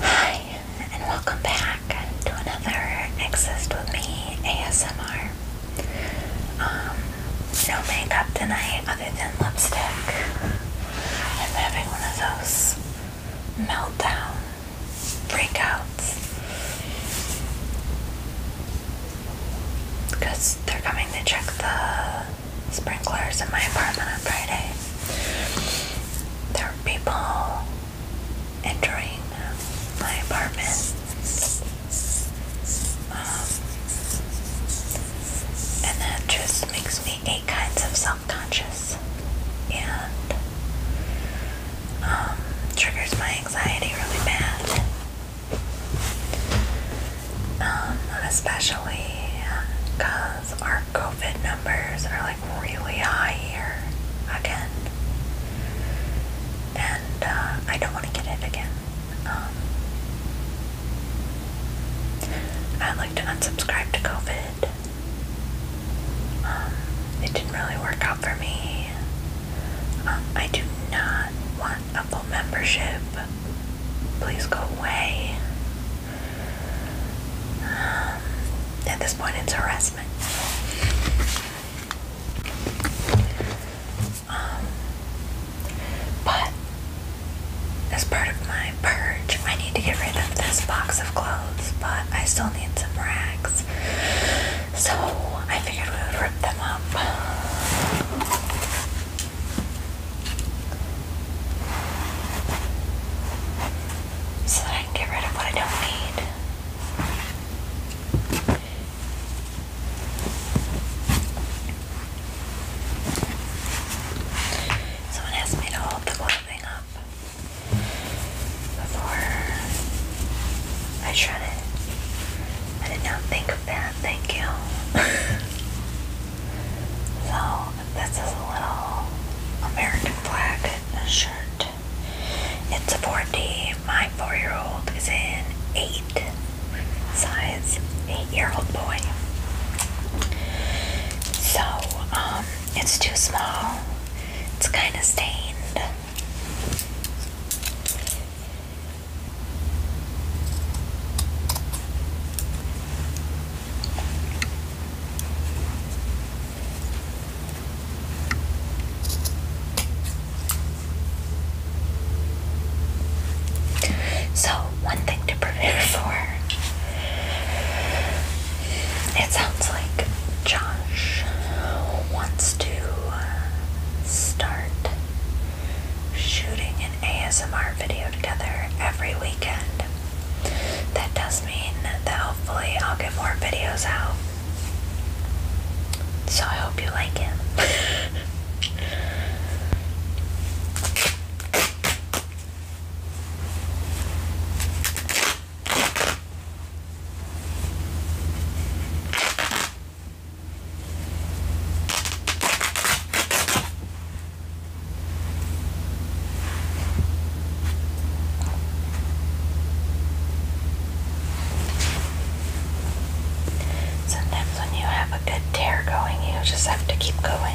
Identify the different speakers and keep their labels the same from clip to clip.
Speaker 1: Hi, and welcome back to another Exist With Me ASMR. Um, no makeup tonight other than lipstick. I'm having one of those meltdown breakouts. Because they're coming to check the sprinklers in my apartment on Friday. There are people entering my apartment. Um, and that just makes me eight kinds of self-conscious and um, triggers my anxiety really bad. Um, especially because because our COVID numbers are like really high here again. And uh, I don't want to get it again. Um, I'd like to unsubscribe to COVID. Um, it didn't really work out for me. Um, I do not want a full membership. Please go away. At this point, it's harassment. Um, but as part of my purge, I need to get rid of this box of clothes, but I still need some rags. So I figured we would rip them up so that I can get rid of what I don't need. Someone asked me to hold the clothing up before I shred it. I did not think of that, thank you. So this is a little American flag shirt. It's a 4D. My four-year-old is an eight size eight-year-old boy. So um, it's too small. It's kind of stained. So, one thing to prepare for it sounds like Josh wants to uh, start shooting an ASMR video together every weekend. That does mean that hopefully I'll get more videos out. So I hope you like it. Sometimes when you have a good tear going, you just have to keep going.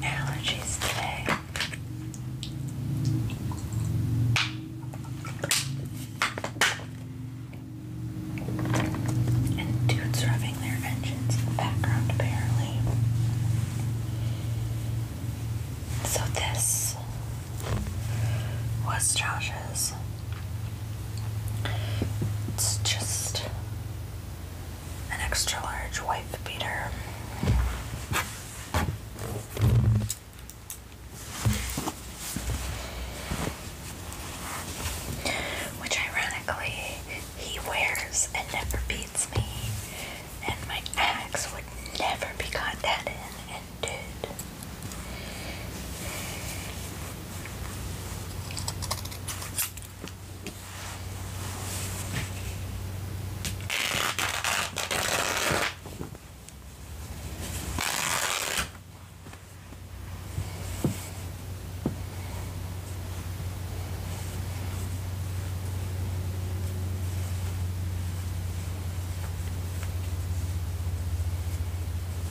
Speaker 1: Allergies today. And dudes rubbing their engines in the background, apparently. So, this was Josh's it's just an extra large wife beater. Which ironically, he wears and never beats me, and my axe would never be caught dead in, did.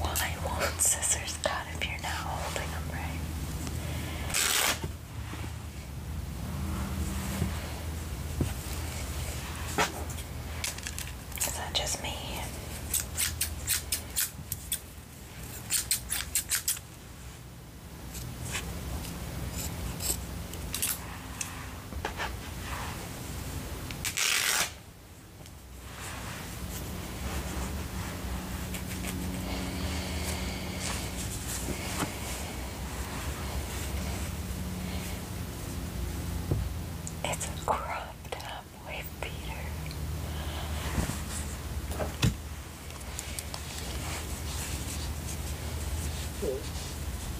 Speaker 1: Why won't scissors cut if you're not holding them right? Is that just me? It's a cropped up wave Peter. Mm.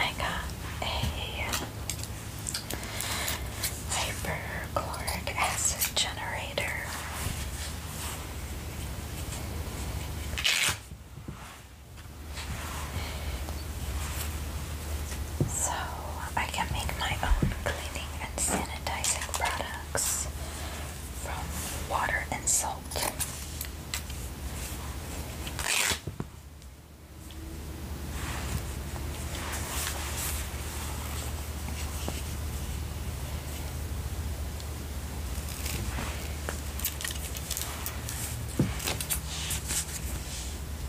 Speaker 1: I got a hyperchloric acid generator. So I can make my own cleaning and sanitizing products from water and salt.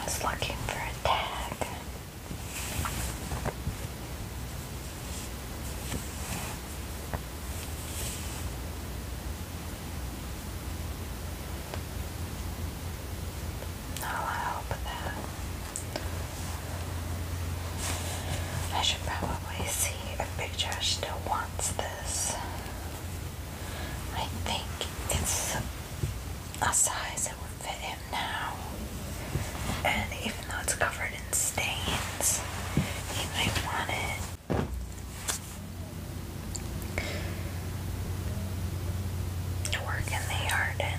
Speaker 1: I was looking for a tag. No, I hope that I should probably I see a picture. Josh still wants this. I think it's a size that would fit him now. And even though it's covered in stains, he might want it. To the yard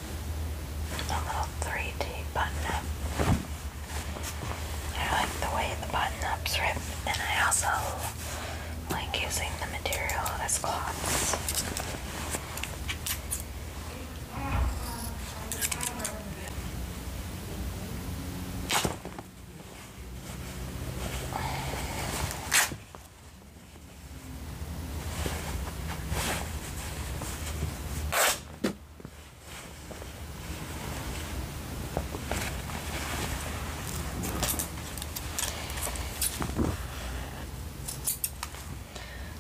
Speaker 1: the little 3D button up. I like the way the button ups rip, and I also like using the material as cloths.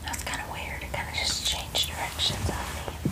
Speaker 1: That's kind of weird. It kind of just changed directions on me.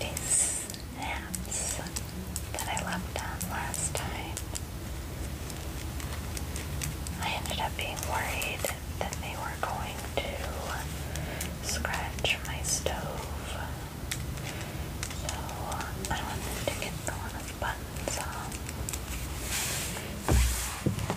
Speaker 1: These hats that I left on last time, I ended up being worried that they were going to scratch my stove. So I wanted to get the one with buttons on.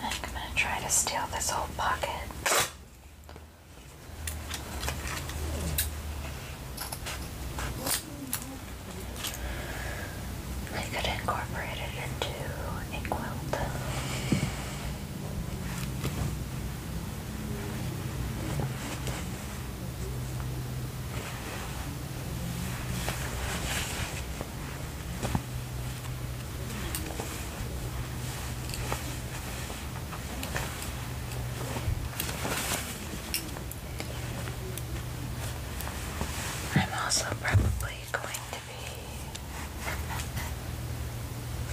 Speaker 1: I'm going to try to steal this whole pocket. I could incorporate it into a quilt. I'm also probably going to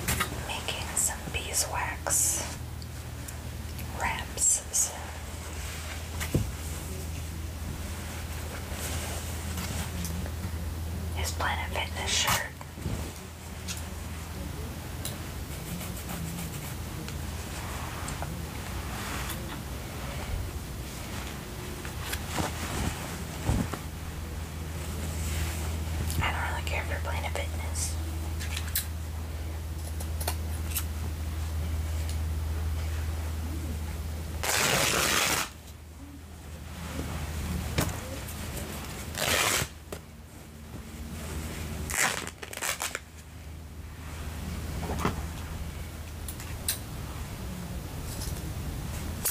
Speaker 1: be making some beeswax wraps His Planet Fitness shirt. I don't really care for a Fitness.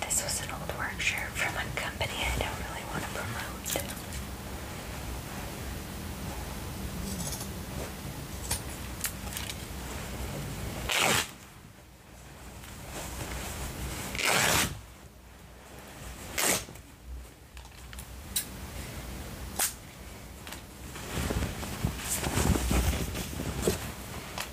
Speaker 1: This was an old work shirt from a company I don't really want to promote.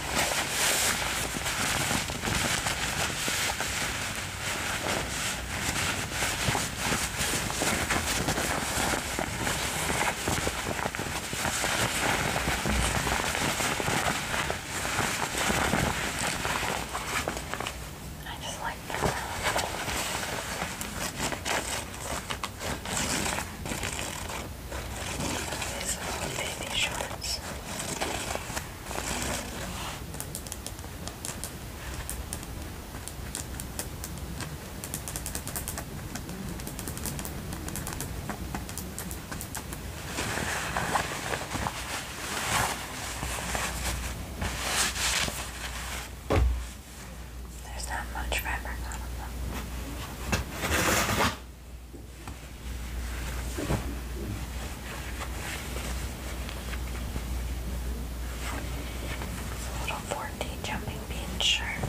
Speaker 1: I just like that. These little baby shorts. There's not much fabric it's a little 4D jumping bean shirt.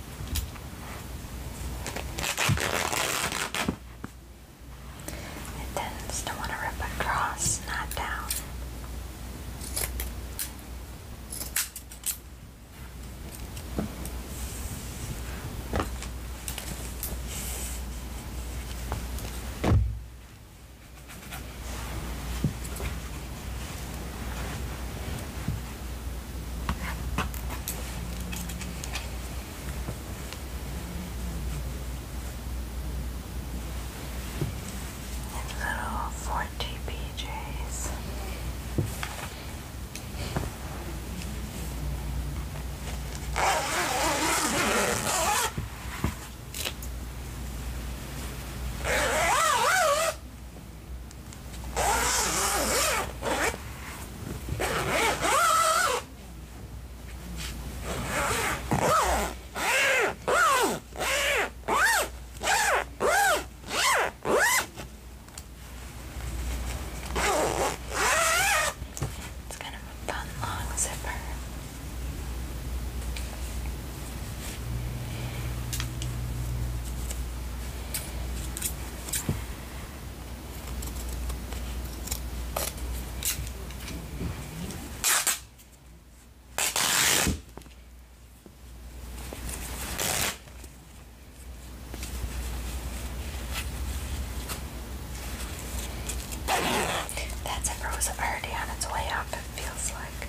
Speaker 1: It tends to want to rip across, not down. His little 40 PJs. It's kind of a fun long zipper. That's if it was already on its way up, it feels like.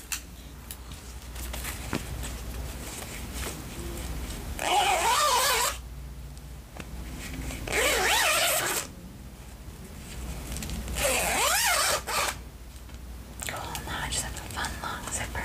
Speaker 1: Cool, oh, now I just have a fun long zipper.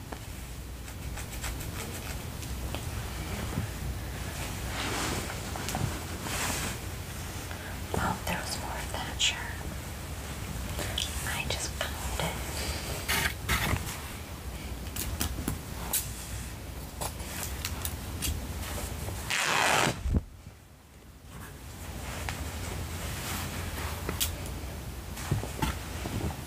Speaker 1: Oh, there was more of that shirt. I just found it.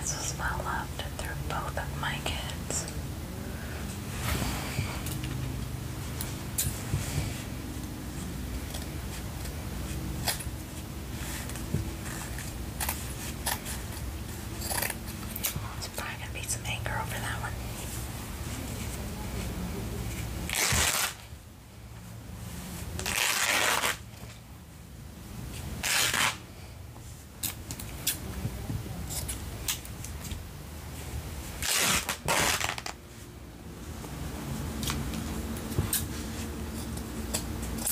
Speaker 1: This was well loved through both of my kids. There's probably going to be some anger over that one.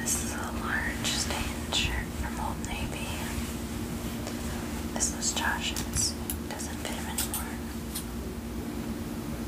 Speaker 1: This is a large stained shirt from Old Navy. This was Josh's. Doesn't fit him anymore.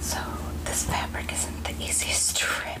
Speaker 1: So, this fabric isn't the easiest to rip.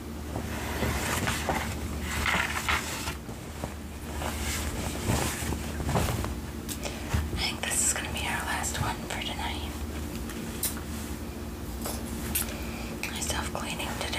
Speaker 1: I think this is going to be our last one for tonight. I cleaning to do.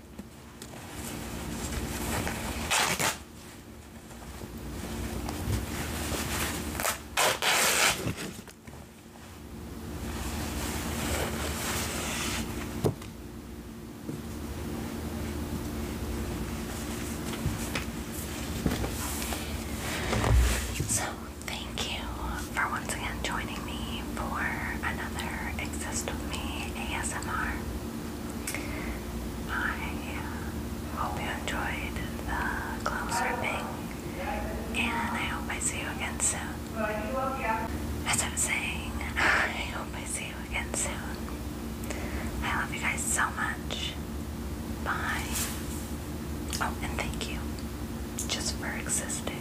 Speaker 1: So, thank you for once again joining me for another Exist With Me ASMR. I hope you enjoyed the clown surfing, and I hope I see you again soon. As I was saying, I hope I see you again soon. I love you guys so much. Bye. Oh, and thank you just for existing.